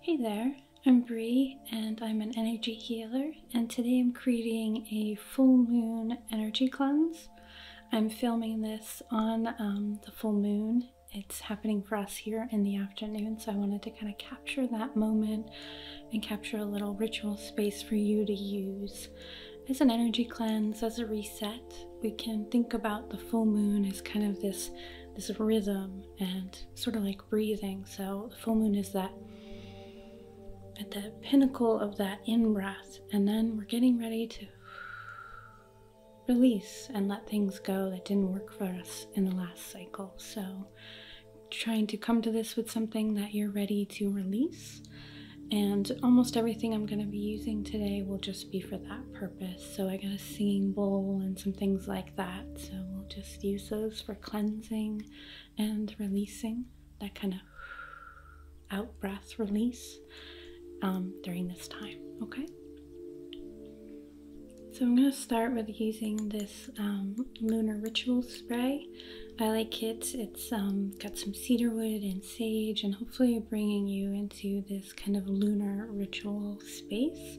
Hey there, I'm Bree and I'm an energy healer and today I'm creating a full moon energy cleanse. I'm filming this on um, the full moon. It's happening for us here in the afternoon so I wanted to kind of capture that moment and capture a little ritual space for you to use as an energy cleanse, as a reset. We can think about the full moon as kind of this this rhythm and sort of like breathing. So the full moon is that at the pinnacle of that in breath, and then we're getting ready to release and let things go that didn't work for us in the last cycle. So, trying to come to this with something that you're ready to release. And almost everything I'm going to be using today will just be for that purpose. So, I got a singing bowl and some things like that. So we'll just use those for cleansing and releasing that kind of out breath release um, during this time. Okay. So I'm going to start with using this um, lunar ritual spray. I like it. It's um, got some cedarwood and sage, and hopefully bringing you into this kind of lunar ritual space.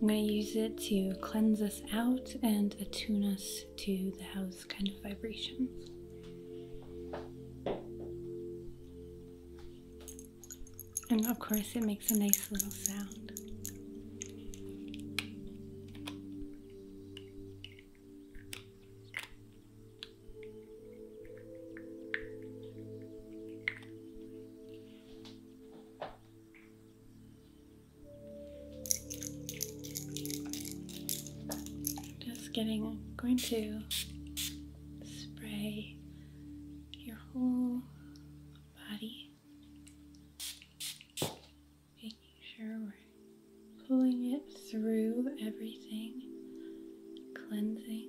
I'm going to use it to cleanse us out and attune us to the house kind of vibrations. And of course, it makes a nice little sound. Just getting, going to spray your whole body, making sure we're pulling it through everything, cleansing.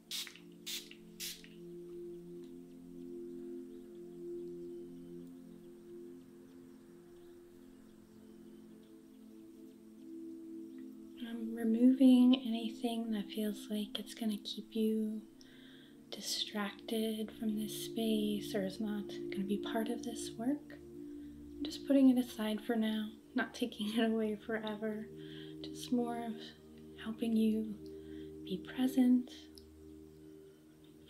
I'm removing anything that feels like it's going to keep you distracted from this space or is not going to be part of this work. I'm just putting it aside for now, not taking it away forever. Just more of helping you be present,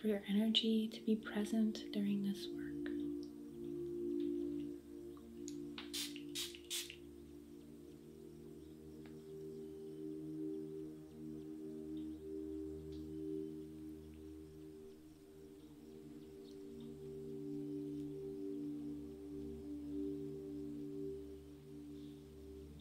for your energy to be present during this work.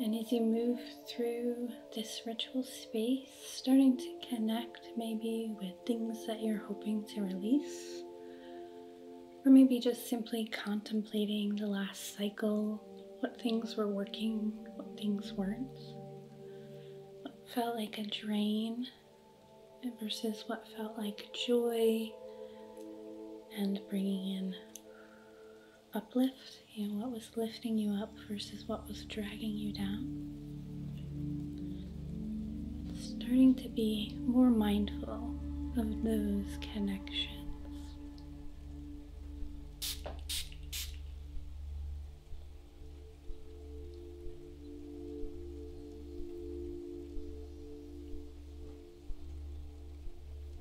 And as you move through this ritual space, starting to connect maybe with things that you're hoping to release, or maybe just simply contemplating the last cycle, what things were working, what things weren't, what felt like a drain versus what felt like joy, and bringing in uplift, you know, what was lifting you up versus what was dragging you down. Starting to be more mindful of those connections.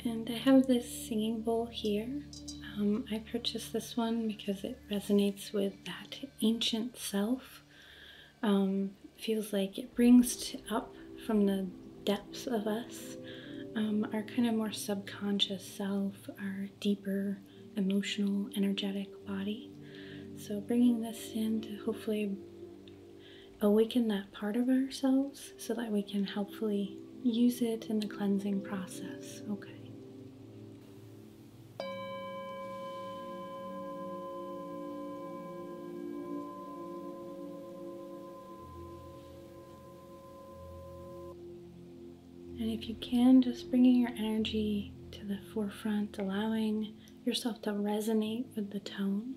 Okay. And I have this singing bowl here. Um, I purchased this one because it resonates with that ancient self. Um, feels like it brings up from the depths of us um, our kind of more subconscious self, our deeper emotional, energetic body. So, bringing this in to hopefully awaken that part of ourselves so that we can hopefully use it in the cleansing process. Okay. And if you can, just bringing your energy to the forefront, allowing yourself to resonate with the tone.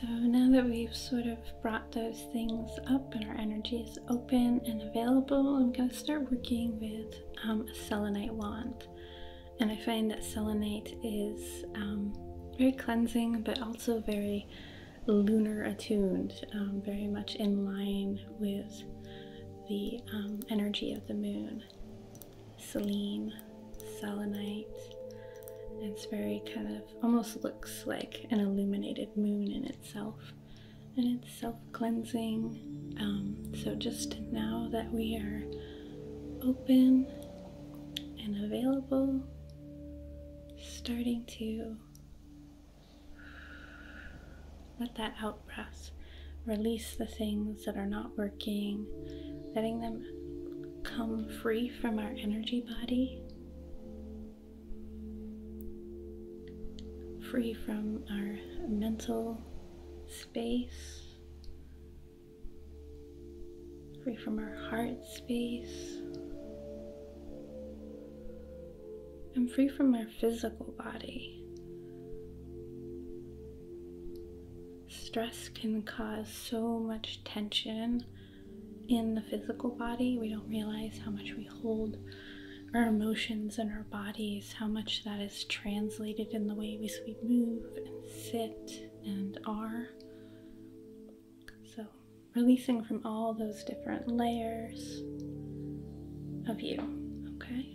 So now that we've sort of brought those things up and our energy is open and available, I'm going to start working with um, a selenite wand. And I find that selenite is um, very cleansing but also very lunar attuned, um, very much in line with the energy of the moon um, selenite. It's very kind of almost looks like an illuminated moon in itself, and it's self cleansing. Um, so, just now that we are open and available, starting to let that out breath release the things that are not working, letting them come free from our energy body, free from our mental space, free from our heart space. and free from our physical body. Stress can cause so much tension in the physical body. We don't realize how much we hold our emotions in our bodies, how much that is translated in the way we move and sit and are. So, releasing from all those different layers of you, okay?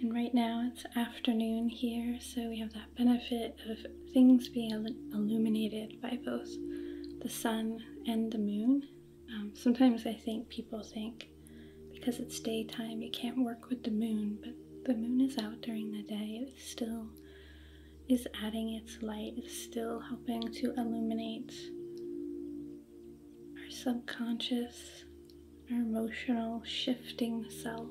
And right now it's afternoon here, so we have that benefit of things being illuminated by both the sun and the moon. Um, sometimes I think people think because it's daytime you can't work with the moon, but the moon is out during the day. It still is adding its light, it's still helping to illuminate our subconscious our emotional shifting self.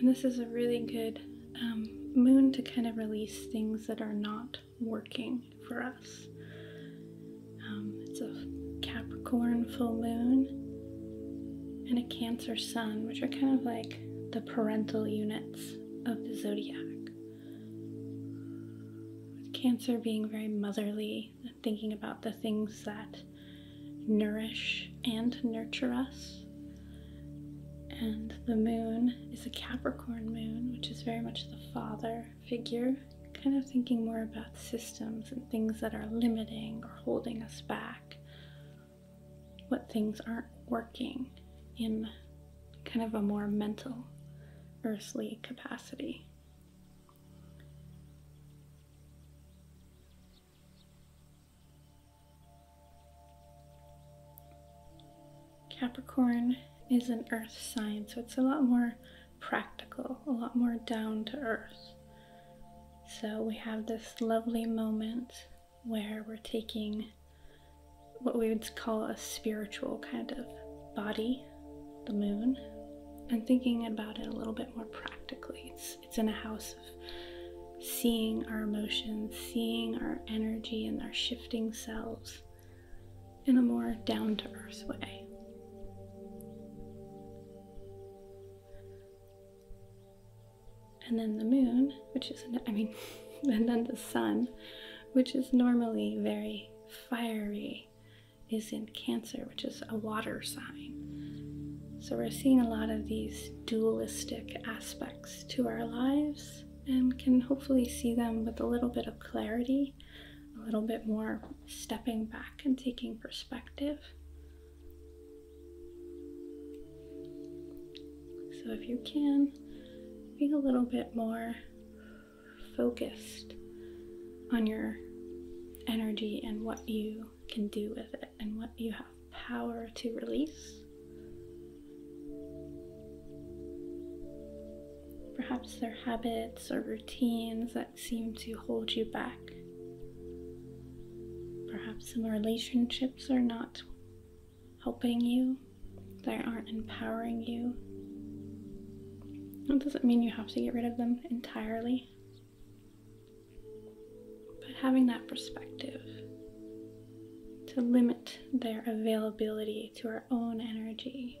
And this is a really good um, moon to kind of release things that are not working for us. Um, it's a Capricorn full moon and a Cancer sun, which are kind of like the parental units of the zodiac. With Cancer being very motherly, thinking about the things that nourish and nurture us. And the moon is a Capricorn moon, which is very much the father figure, kind of thinking more about systems and things that are limiting or holding us back, what things aren't working in kind of a more mental, earthly capacity. Capricorn is an earth sign, so it's a lot more practical, a lot more down to earth. So we have this lovely moment where we're taking what we would call a spiritual kind of body, the moon, and thinking about it a little bit more practically. It's, it's in a house of seeing our emotions, seeing our energy and our shifting selves in a more down to earth way and then the moon, which is, I mean, and then the sun, which is normally very fiery, is in Cancer, which is a water sign. So we're seeing a lot of these dualistic aspects to our lives and can hopefully see them with a little bit of clarity, a little bit more stepping back and taking perspective. So if you can, be a little bit more focused on your energy and what you can do with it and what you have power to release. Perhaps there are habits or routines that seem to hold you back. Perhaps some relationships are not helping you, that aren't empowering you. That doesn't mean you have to get rid of them entirely, but having that perspective to limit their availability to our own energy.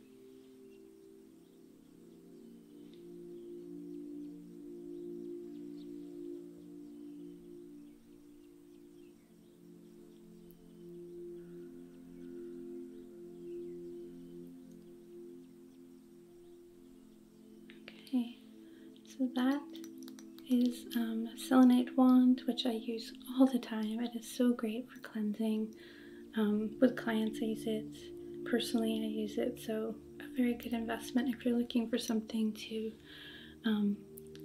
Okay, so that is a um, selenite wand, which I use all the time. It is so great for cleansing. Um, with clients, I use it. Personally, I use it. So, a very good investment if you're looking for something to um,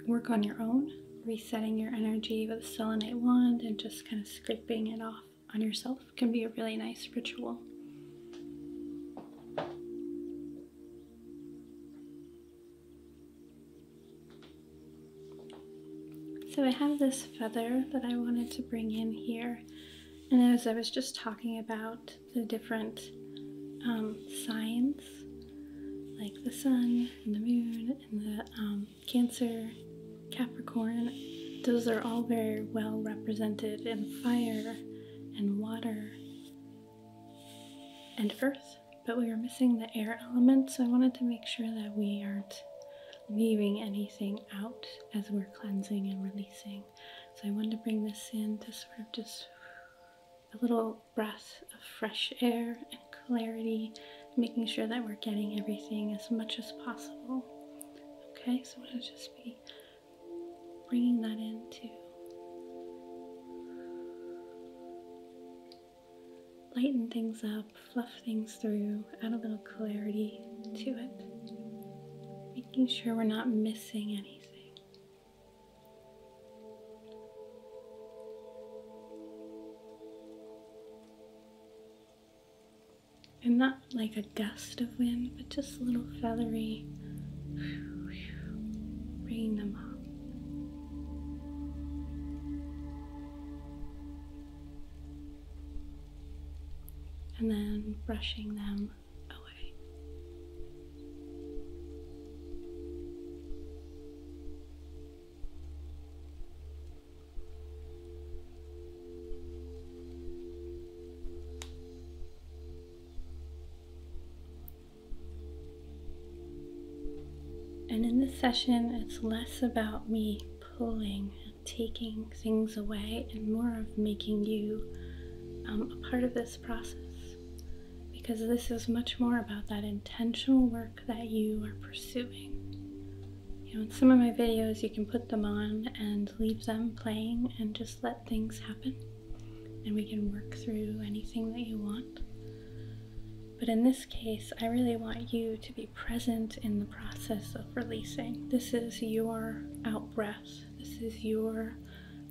work on your own, resetting your energy with a selenite wand and just kind of scraping it off on yourself can be a really nice ritual. So I have this feather that I wanted to bring in here. And as I was just talking about the different um, signs, like the sun and the moon and the um, Cancer, Capricorn, those are all very well represented in fire and water and earth, but we were missing the air element, so I wanted to make sure that we aren't leaving anything out as we're cleansing and releasing. So I wanted to bring this in to sort of just a little breath of fresh air and clarity, making sure that we're getting everything as much as possible. Okay, so I'm to just be bringing that in too lighten things up, fluff things through, add a little clarity to it, making sure we're not missing anything. And not like a gust of wind, but just a little feathery, bringing them up and then brushing them away. And in this session, it's less about me pulling and taking things away and more of making you um, a part of this process. Because this is much more about that intentional work that you are pursuing. You know, some of my videos, you can put them on and leave them playing and just let things happen. And we can work through anything that you want. But in this case, I really want you to be present in the process of releasing. This is your out breath. This is your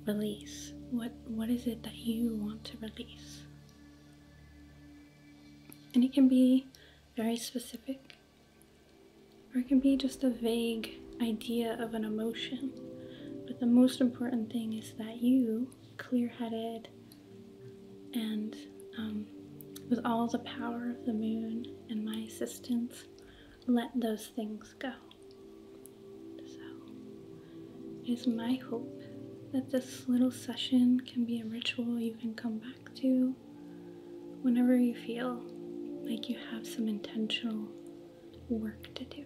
release. What what is it that you want to release? And it can be very specific, or it can be just a vague idea of an emotion. But the most important thing is that you, clear headed, and um, with all the power of the moon and my assistance, let those things go. So, it is my hope that this little session can be a ritual you can come back to whenever you feel like you have some intentional work to do.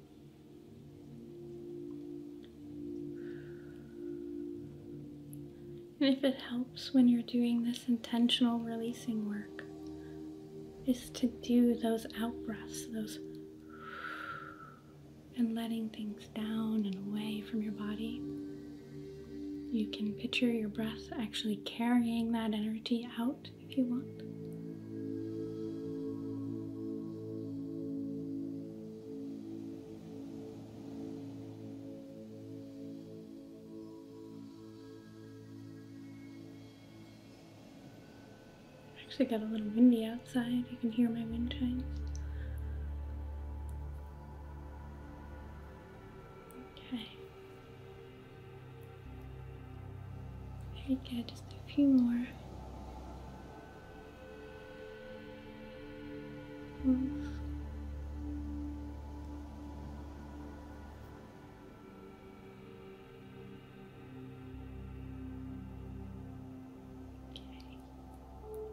And if it helps when you're doing this intentional releasing work, is to do those out breaths, those and letting things down and away from your body. You can picture your breath actually carrying that energy out if you want. Actually got a little windy outside. You can hear my wind chimes. Okay. Very good, just a few more.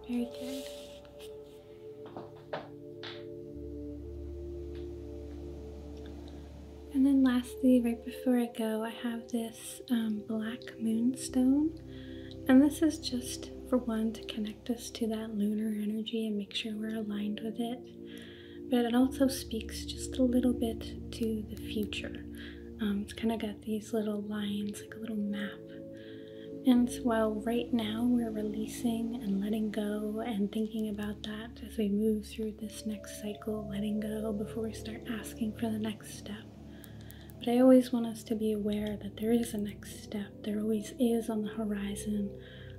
Very good. And then lastly, right before I go, I have this um, black moonstone. And this is just for one to connect us to that lunar energy and make sure we're aligned with it. But it also speaks just a little bit to the future. Um, it's kind of got these little lines, like a little map. And while right now we're releasing and letting go and thinking about that as we move through this next cycle, letting go before we start asking for the next step. But I always want us to be aware that there is a next step, there always is on the horizon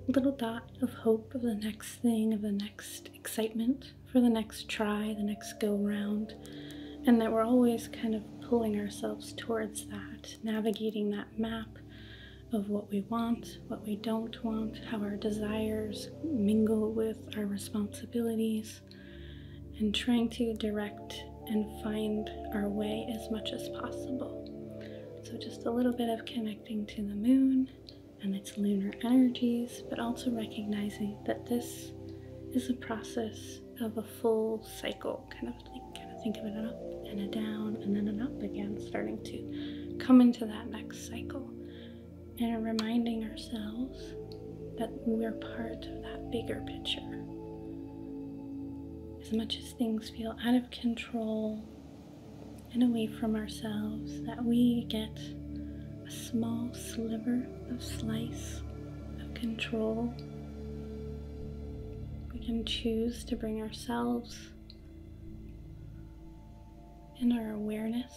a little dot of hope of the next thing, of the next excitement for the next try, the next go round, and that we're always kind of pulling ourselves towards that, navigating that map of what we want what we don't want, how our desires mingle with our responsibilities, and trying to direct and find our way as much as possible. So, just a little bit of connecting to the moon and its lunar energies, but also recognizing that this is a process of a full cycle, kind of like, kind of think of it an up and a down and then an up again, starting to come into that next cycle and reminding ourselves that we're part of that bigger picture. As much as things feel out of control and away from ourselves, that we get a small sliver of slice of control. We can choose to bring ourselves and our awareness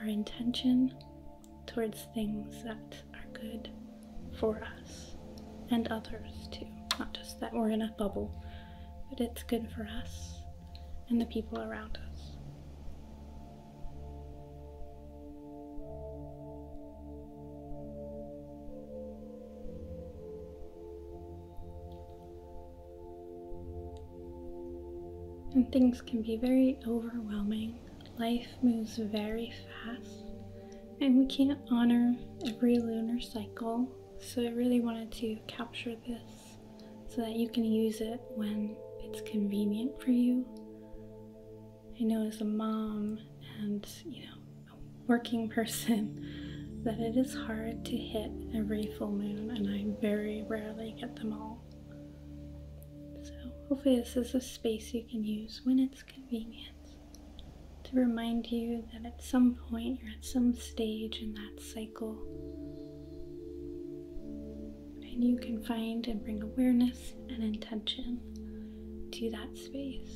our intention towards things that are good for us and others too. Not just that we're in a bubble, but it's good for us and the people around us. And things can be very overwhelming. Life moves very fast, and we can't honor every lunar cycle. So, I really wanted to capture this so that you can use it when it's convenient for you. I know as a mom and, you know, a working person, that it is hard to hit every full moon, and I very rarely get them all. So, hopefully, this is a space you can use when it's convenient to remind you that at some point you're at some stage in that cycle. And you can find and bring awareness and intention to that space.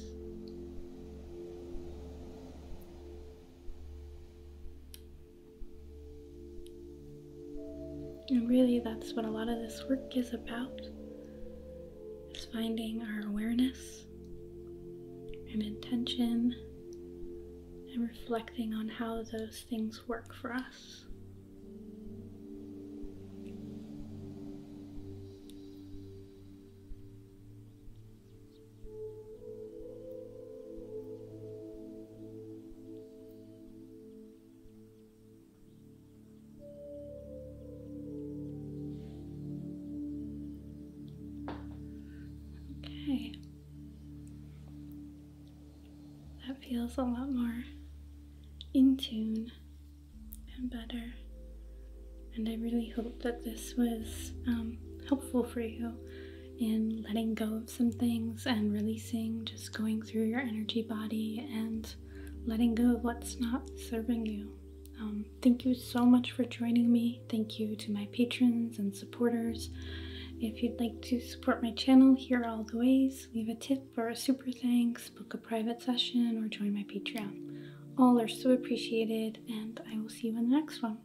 And really, that's what a lot of this work is about is finding our awareness and intention and reflecting on how those things work for us. Okay. That feels a lot more in tune and better. And I really hope that this was um, helpful for you in letting go of some things and releasing, just going through your energy body and letting go of what's not serving you. Um, thank you so much for joining me. Thank you to my patrons and supporters. If you'd like to support my channel, here are all the ways. Leave a tip or a super thanks, book a private session, or join my Patreon. All are so appreciated, and I will see you in the next one.